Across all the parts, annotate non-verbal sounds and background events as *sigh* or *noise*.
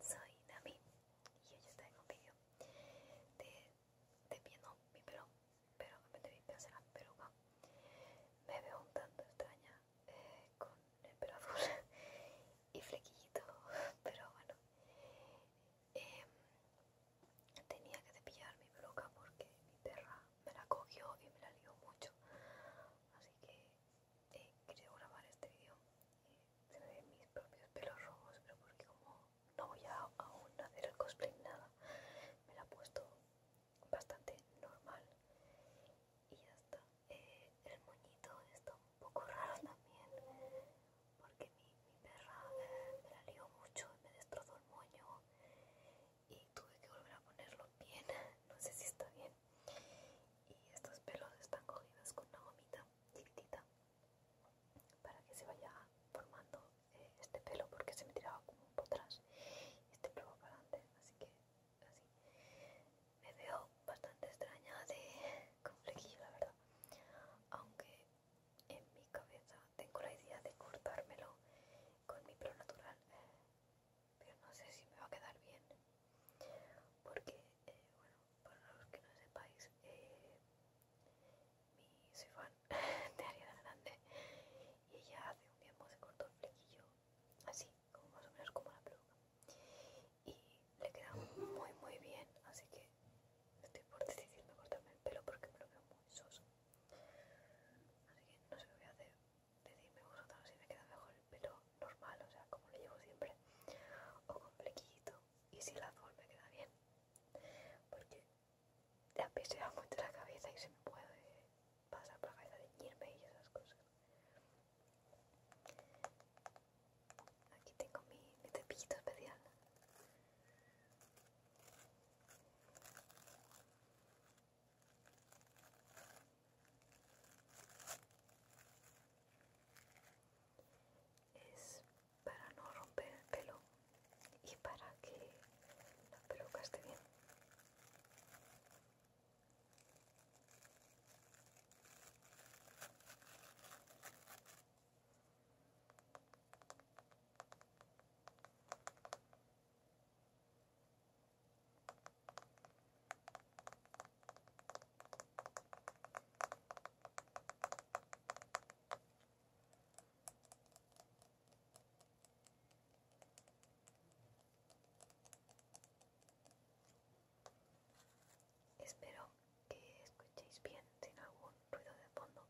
soy Nami y hoy estoy en un vídeo de, de no, mi pelo, pero de mi hacer la peluca. Me veo un tanto extraña eh, con el pelo azul *laughs* y flequillito, pero bueno. Em, tenía que cepillar mi peluca porque mi perra me la cogió y me la lió mucho, así que eh, quiero grabar este video se me ven mis propios pelos rojos pero porque como no voy a aún hacer el cosplay nada me la he puesto bastante normal y ya está eh, el moñito está un poco *laughs* raro también porque mi, perra eh, me la lió mucho me destrozó el moño y tuve que volver a ponerlo bien *laughs* no sé si está bien y estos pelos están cogidos con una gomita chiquitita para que se vaya formando eh, este pelo porque se me tiraba como por atrás este pelo para adelante, así que así. Me veo bastante extraña de con la verdad. Aunque en mi cabeza tengo la idea de cortármelo con mi pelo natural, pero no sé si me va a quedar bien porque, eh, bueno, para los que no sepáis, eh, soy fan *laughs* de Ariana Grande y ella hace un tiempo se cortó el flequillo, así, como más o menos como la peluca, y le queda muy, muy bien, así que estoy por decidirme cortarme el pelo porque me lo veo muy soso. Así que no sé qué voy a hacer. Decidme vosotros si me queda mejor el pelo normal, o sea, como lo llevo siempre, o con flequillito, y si la azul me queda bien, porque ya a mucho la cabeza y se me puede pasar por la cabeza teñirme y esas cosas. Aquí tengo mi, mi cepillito especial es para no romper el pelo y para que la peluca esté bien Espero que escuchéis bien sin algún ruido de fondo,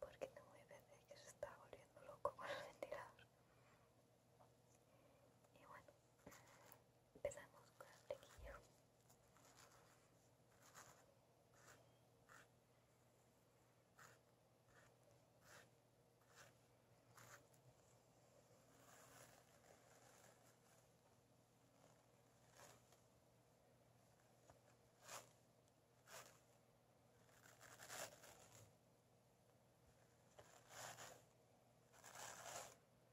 porque tengo que PC que se está volviendo loco con el ventilador. Y bueno, empezamos con el flequillo.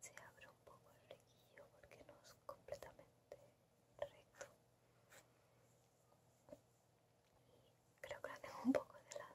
Se abre un poco el flequillo porque no es completamente recto. Y creo que lo tengo un poco de lado.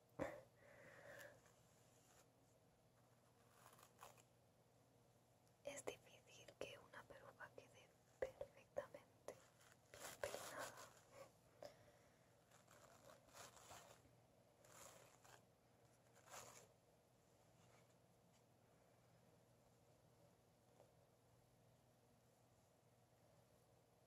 Es difícil que una peruca quede perfectamente bien peinada.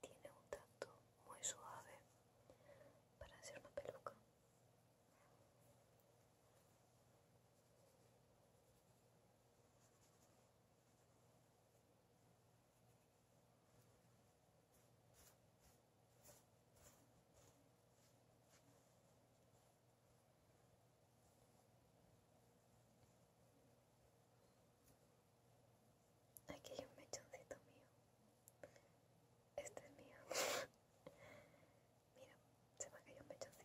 tiene un tacto muy suave para hacer una peluca. Aquí hay un mechoncito mío. Este es mío. *laughs* Mira, se me ha caído un mechoncito.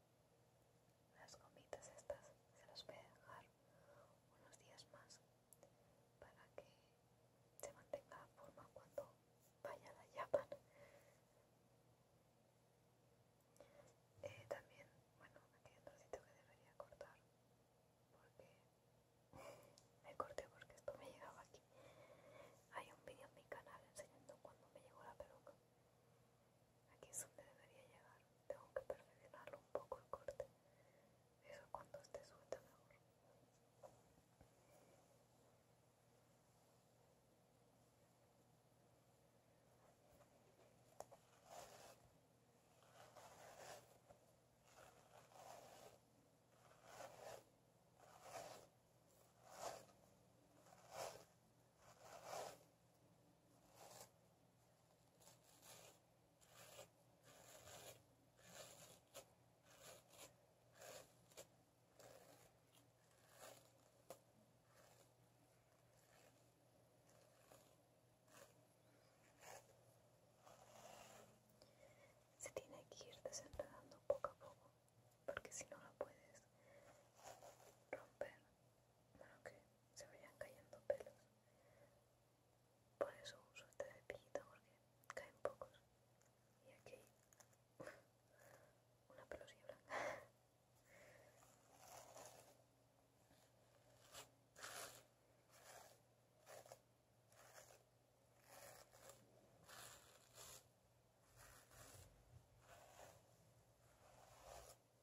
Las gomitas estas se las voy a dejar unos días más para que se mantenga la forma cuando vaya a la yapan. Eh, también, bueno, aquí hay un trocito que debería cortar porque me corté porque esto me llegaba aquí. Hay un vídeo en mi canal enseñando cuando me llegó la peluca. Aquí es donde debería llegar. Tengo que perfeccionarlo un poco el corte. Eso cuando esté suelta mejor. Se tiene que ir desenredando poco a poco, porque si no lo puedes romper se vayan cayendo pelos. Por eso uso este cepillito porque caen pocos. Y aquí una pelosilla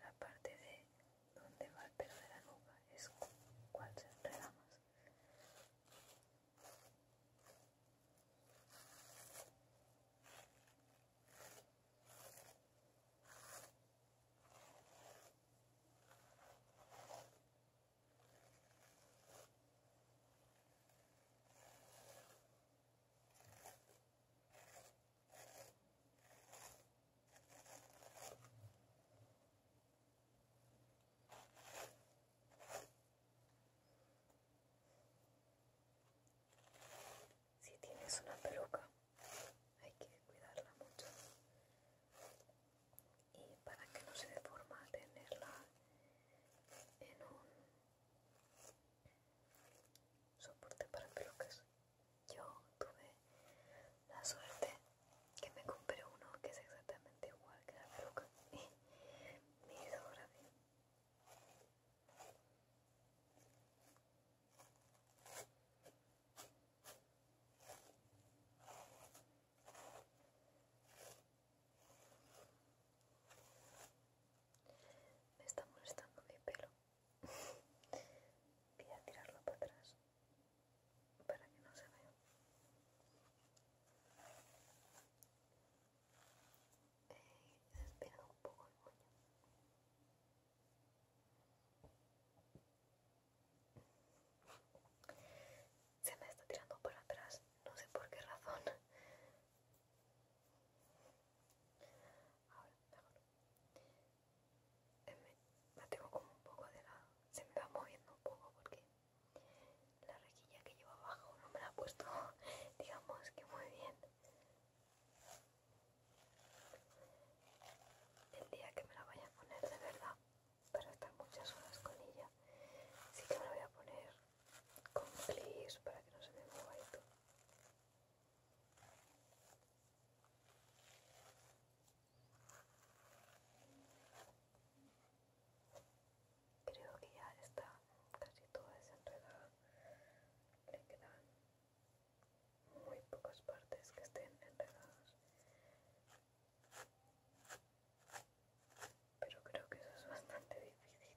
La parte de donde va el pelo de la nuca es cual se más. Si tienes una peluca, hay que cuidarla mucho. Y para que no se deforma, tenerla en un soporte para pelucas. Yo tuve la suerte que me compré uno que es exactamente igual que la *laughs* peluca y me hizo ahora bien. Me está molestando mi pelo. Voy a tirarlo para atrás para que no se vea. He eh, un poco el Se me está tirando para atrás, no sé por qué razón. Ahora, mejor. tengo como un poco de lado. Se me va moviendo un poco porque la rejilla que lleva abajo no me la ha puesto, *laughs* digamos que muy bien. El día que me la vaya a poner de verdad, para estar muchas horas con ella, sí que me la voy a poner con clics para que no se me mueva y todo. Creo que ya está casi todo desenredada. Le quedan muy pocas partes que estén enredadas. Pero creo que eso es bastante difícil.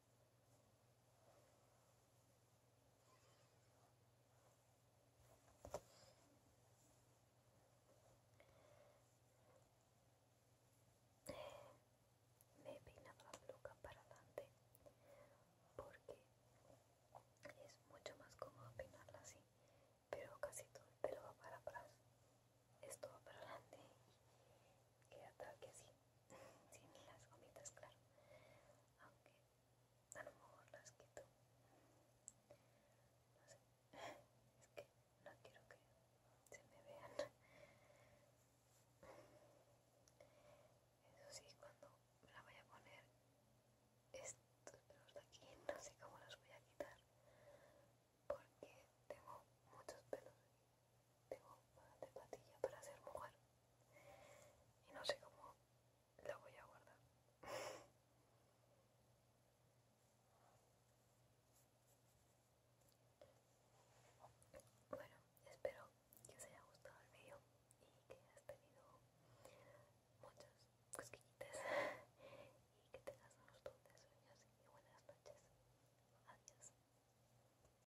me he peinado la peluca para adelante porque es mucho más cómodo peinarla así pero casi todo el pelo va para atrás esto va para adelante y queda tal que así sin las gomitas, claro. Aunque a lo mejor las quito. No sé. Es que no quiero que se me vean. Eso sí, cuando me la voy a poner, estos pelos de aquí no sé cómo los voy a quitar porque tengo muchos pelos aquí tengo una de patilla para ser mujer. Y no sé cómo la voy a guardar. Bueno, espero que os haya gustado el vídeo y que hayas tenido muchas cosquillitas *laughs* y que tengas unos dulces sueños y buenas noches. Adiós.